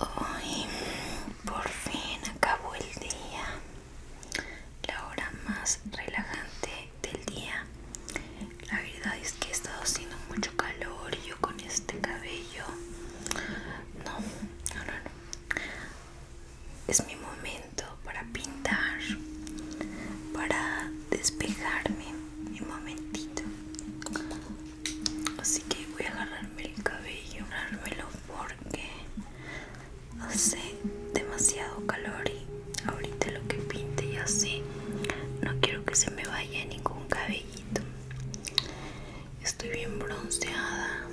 Hoy por fin acabó el día, la hora más relajante del día. La verdad es que he estado haciendo mucho calor y yo con este cabello. No, no, no, no. Es mi momento para pintar, para despejarme. Mi momentito así que voy a agarrarme el cabello agarrármelo porque hace demasiado calor y ahorita lo que pinte y así no quiero que se me vaya ningún cabellito estoy bien bronceada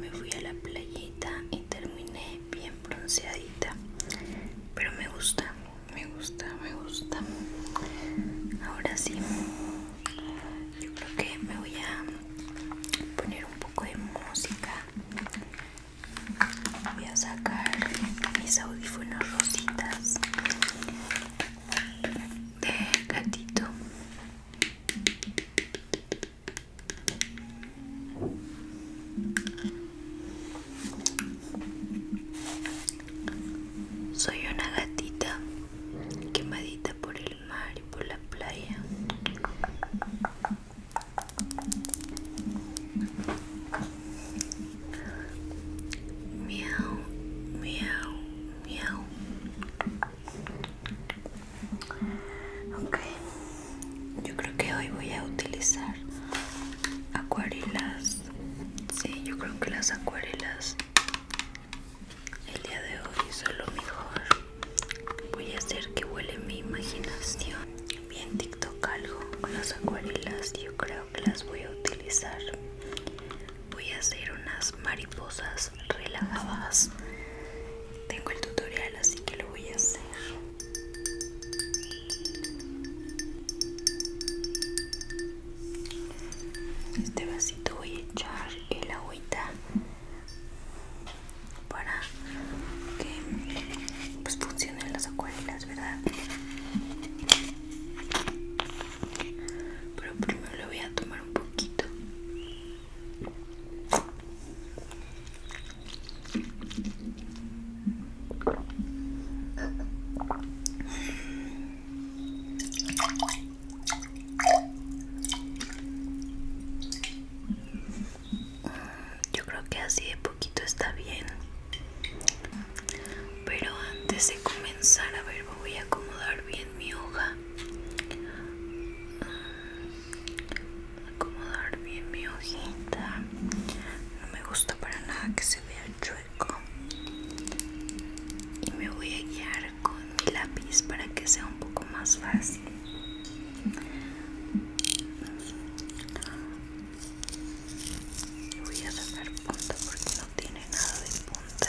me fui a la playita y terminé bien bronceadita pero me gusta me gusta, me gusta. Ahora sí, yo creo que me voy a poner un poco de música. Voy a sacar mis audífonos rositas de gatito. Soy una gatita quemadita por el mar y por la playa. Miau, miau, miau. Ok, yo creo que hoy voy a utilizar acuarelas Sí, yo creo que las acuarelas el día de hoy son lo mejor. Voy a hacer que huele mi imaginación. Bien TikTok algo con las acuarelas. Yo creo que las voy a utilizar. Voy a hacer unas mariposas relajadas. Tengo el tutorial así que lo voy a hacer este vasito voy a echar el agüita para que pues, funcionen las acuarelas, ¿verdad? Pero primero le voy a tomar un poquito. Yo creo que así de poquito está bien. Pero antes de comenzar, a ver, voy a acomodar bien mi hoja. Acomodar bien mi hojita. No me gusta para nada que se vea chueco y me voy a guiar con mi lápiz para que sea un poco más fácil voy a sacar punta porque no tiene nada de punta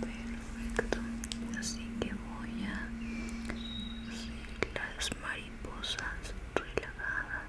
perfecto así que voy a las mariposas relajadas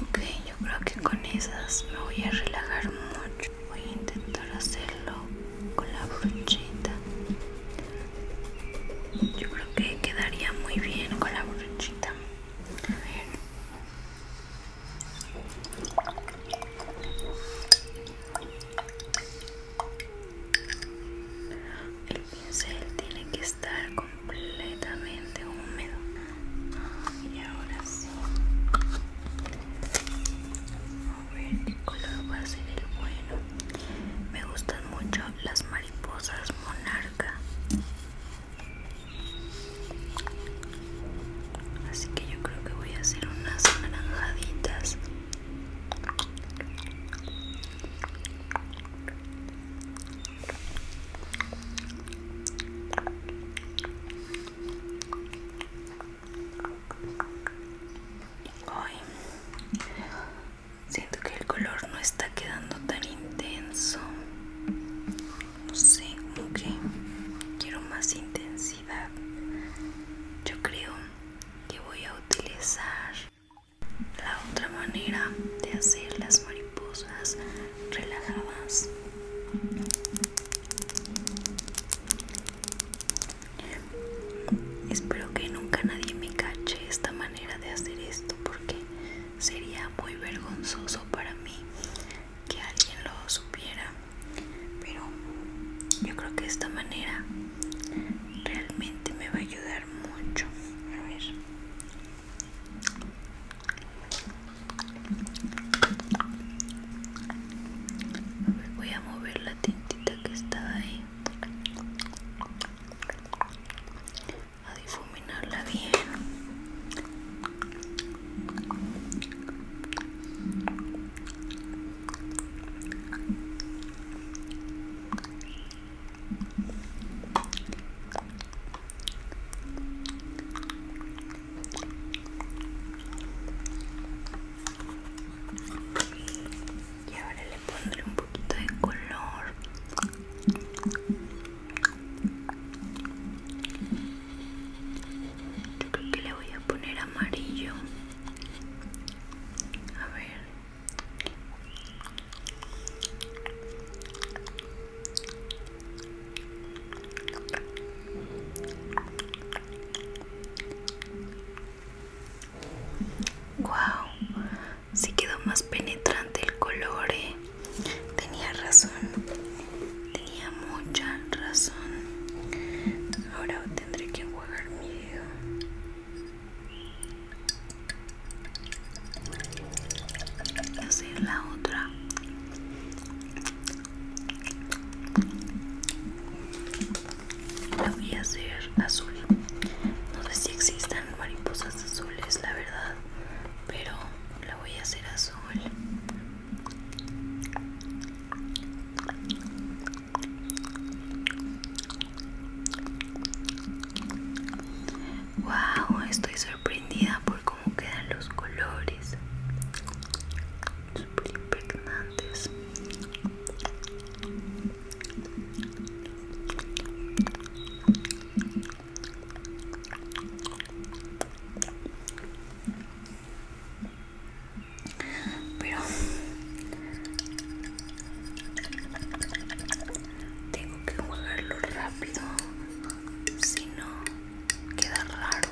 Ok, yo creo que con esas me voy a relajar mucho. Voy a intentar hacerlo con la brochita. Yo creo que quedaría muy bien con la brochita. A ver. El pincel tiene que estar completamente húmedo. Y ahora sí. A ver qué color va a ser el bueno. Me gustan mucho las mariposas monarca. Así que yo creo que voy a hacer unas naranjaditas siento que el color no está quedando tan intenso. No sé, como que quiero más intensidad. Yo creo que voy a utilizar la otra manera de hacer las mariposas relajadas espero que nunca nadie me cache esta manera de hacer esto porque sería muy vergonzoso para mí que alguien lo supiera pero yo creo que esta manera realmente me va a ayudar mucho a ver voy a mover la tintita que está ahí a difuminarla bien y ahora le pondré un poquito de color. Yo creo que le voy a poner amarillo. A ver. Wow, si quedó más penetrante el color, eh. tenía razón, tenía mucha razón. Ahora tendré que jugar miedo hacer la otra la voy a hacer azul no sé si existan mariposas azules la verdad pero la voy a hacer azul Wow, estoy sorprendida por cómo quedan los colores. Super impregnantes pero tengo que jugarlo rápido si no queda raro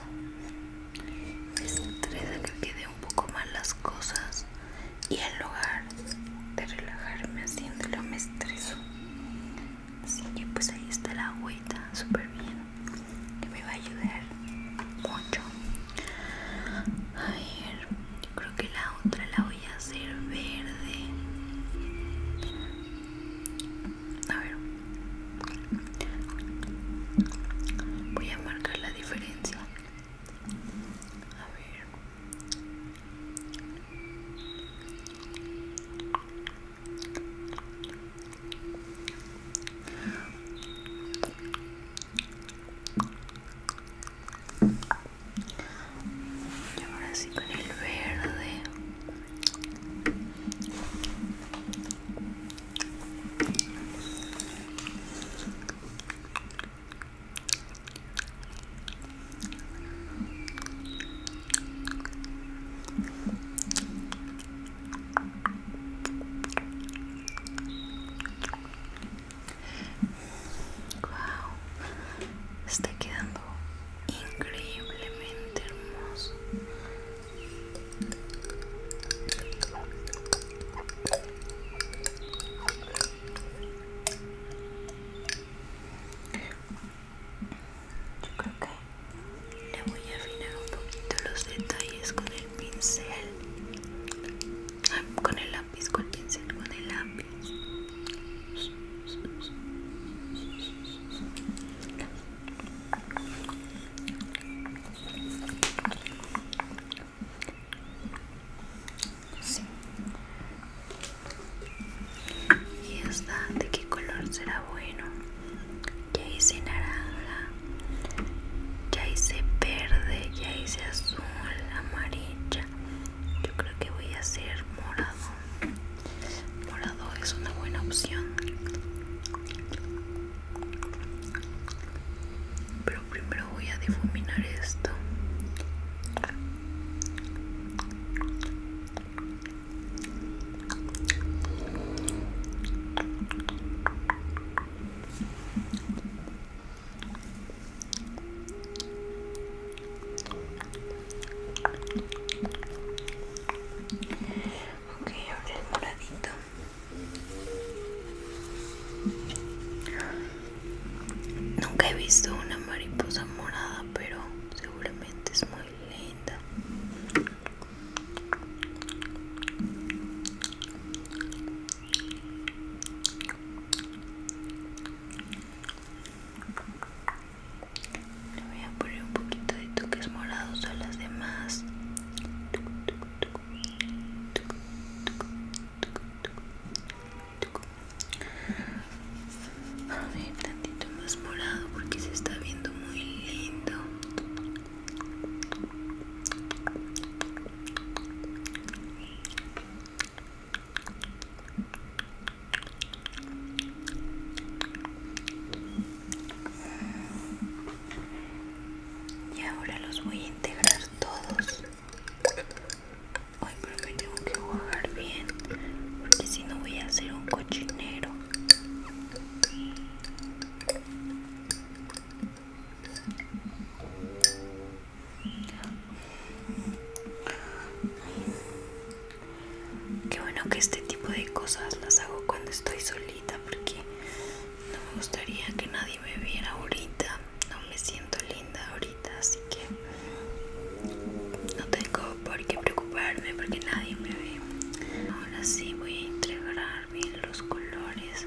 me estresa que quede un poco mal las cosas y en lugar de relajarme haciéndolo me estreso así que pues ahí está la agüita súper bien que me va a ayudar mucho a ver creo que la otra la voy a hacer verde. A ver. Voy a marcar la diferencia. A ver. Y ahora sí con el verde. Wow, está quedando increíblemente hermoso. Yo creo que le voy a afinar un poquito los detalles con el pincel, ah, con el Disculpense con pincel, con el lápiz. Y esta, ¿de qué color será bueno? Ya hice naranja, ya hice verde, ya hice azul, amarilla yo creo que voy a hacer morado morado es una buena opción pero primero voy a difuminar esto Ok, ahora el moradito. Nunca he visto una mariposa morada, pero seguramente es muy linda. Le voy a poner un poquito de toques morados a las demás. A ver, tantito más morado porque se está viendo muy lindo. Y ahora los voy a integrar todos. Ay, pero me tengo que jugar bien, porque si no voy a hacer un cochinero. Qué bueno que este tipo de cosas las hago cuando estoy solita porque no me gustaría que nadie me viera ahorita. No me siento linda ahorita, así que no tengo por qué preocuparme porque nadie me ve. Ahora sí voy a entregar los colores.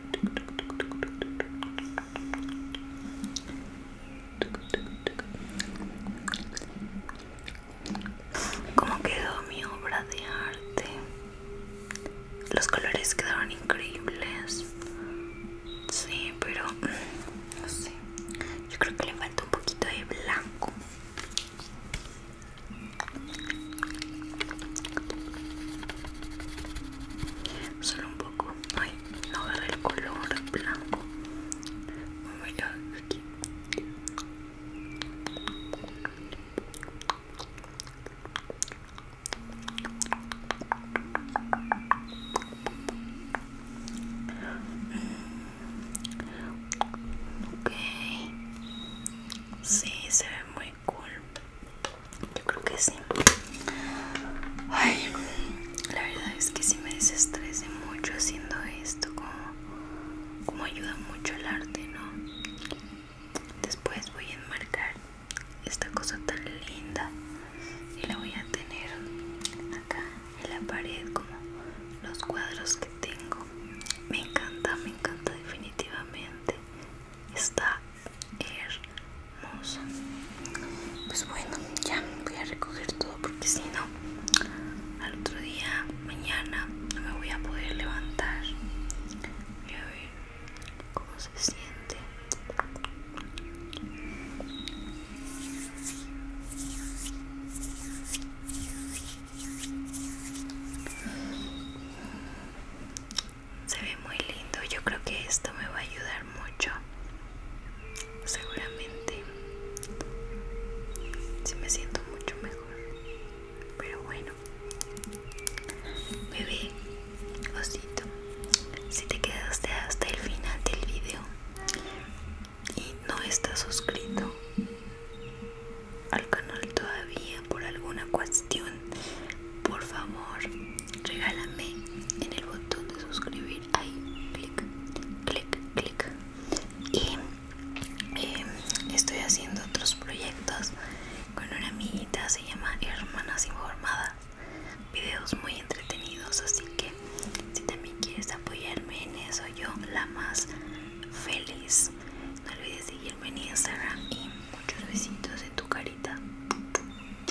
¿Cómo quedó mi obra de arte? Los colores quedaron increíbles. Sí, pero no sé. Yo creo que le falta un poquito de blanco. Solo un poco ay, no agarré el color blanco. vamos a aquí. Ok, sí, se ve muy yo creo que sí. Ay, la verdad es que si me desestresé mucho haciendo esto, como, como ayuda mucho el arte, ¿no? Después voy a enmarcar esta cosa tan linda y la voy a tener acá en la pared como los cuadros que tengo. Me encanta, me encanta definitivamente está hermosa pues bueno ya voy a recoger todo porque si no al otro día mañana no me voy a poder levantar voy a ver cómo se siente se ve muy lindo yo creo que esto me va a ayudar mucho seguramente si me siento mucho mejor pero bueno bebé osito si te quedaste hasta el final del video y no estás suscrito al canal todavía por alguna cuestión por favor regálame en el botón de suscribir ahí clic clic clic y em, estoy haciendo otros proyectos con una amiguita se llama hermanas informadas videos muy entretenidos así que si también quieres apoyarme en eso yo la más feliz no olvides seguirme en instagram y muchos besitos en tu carita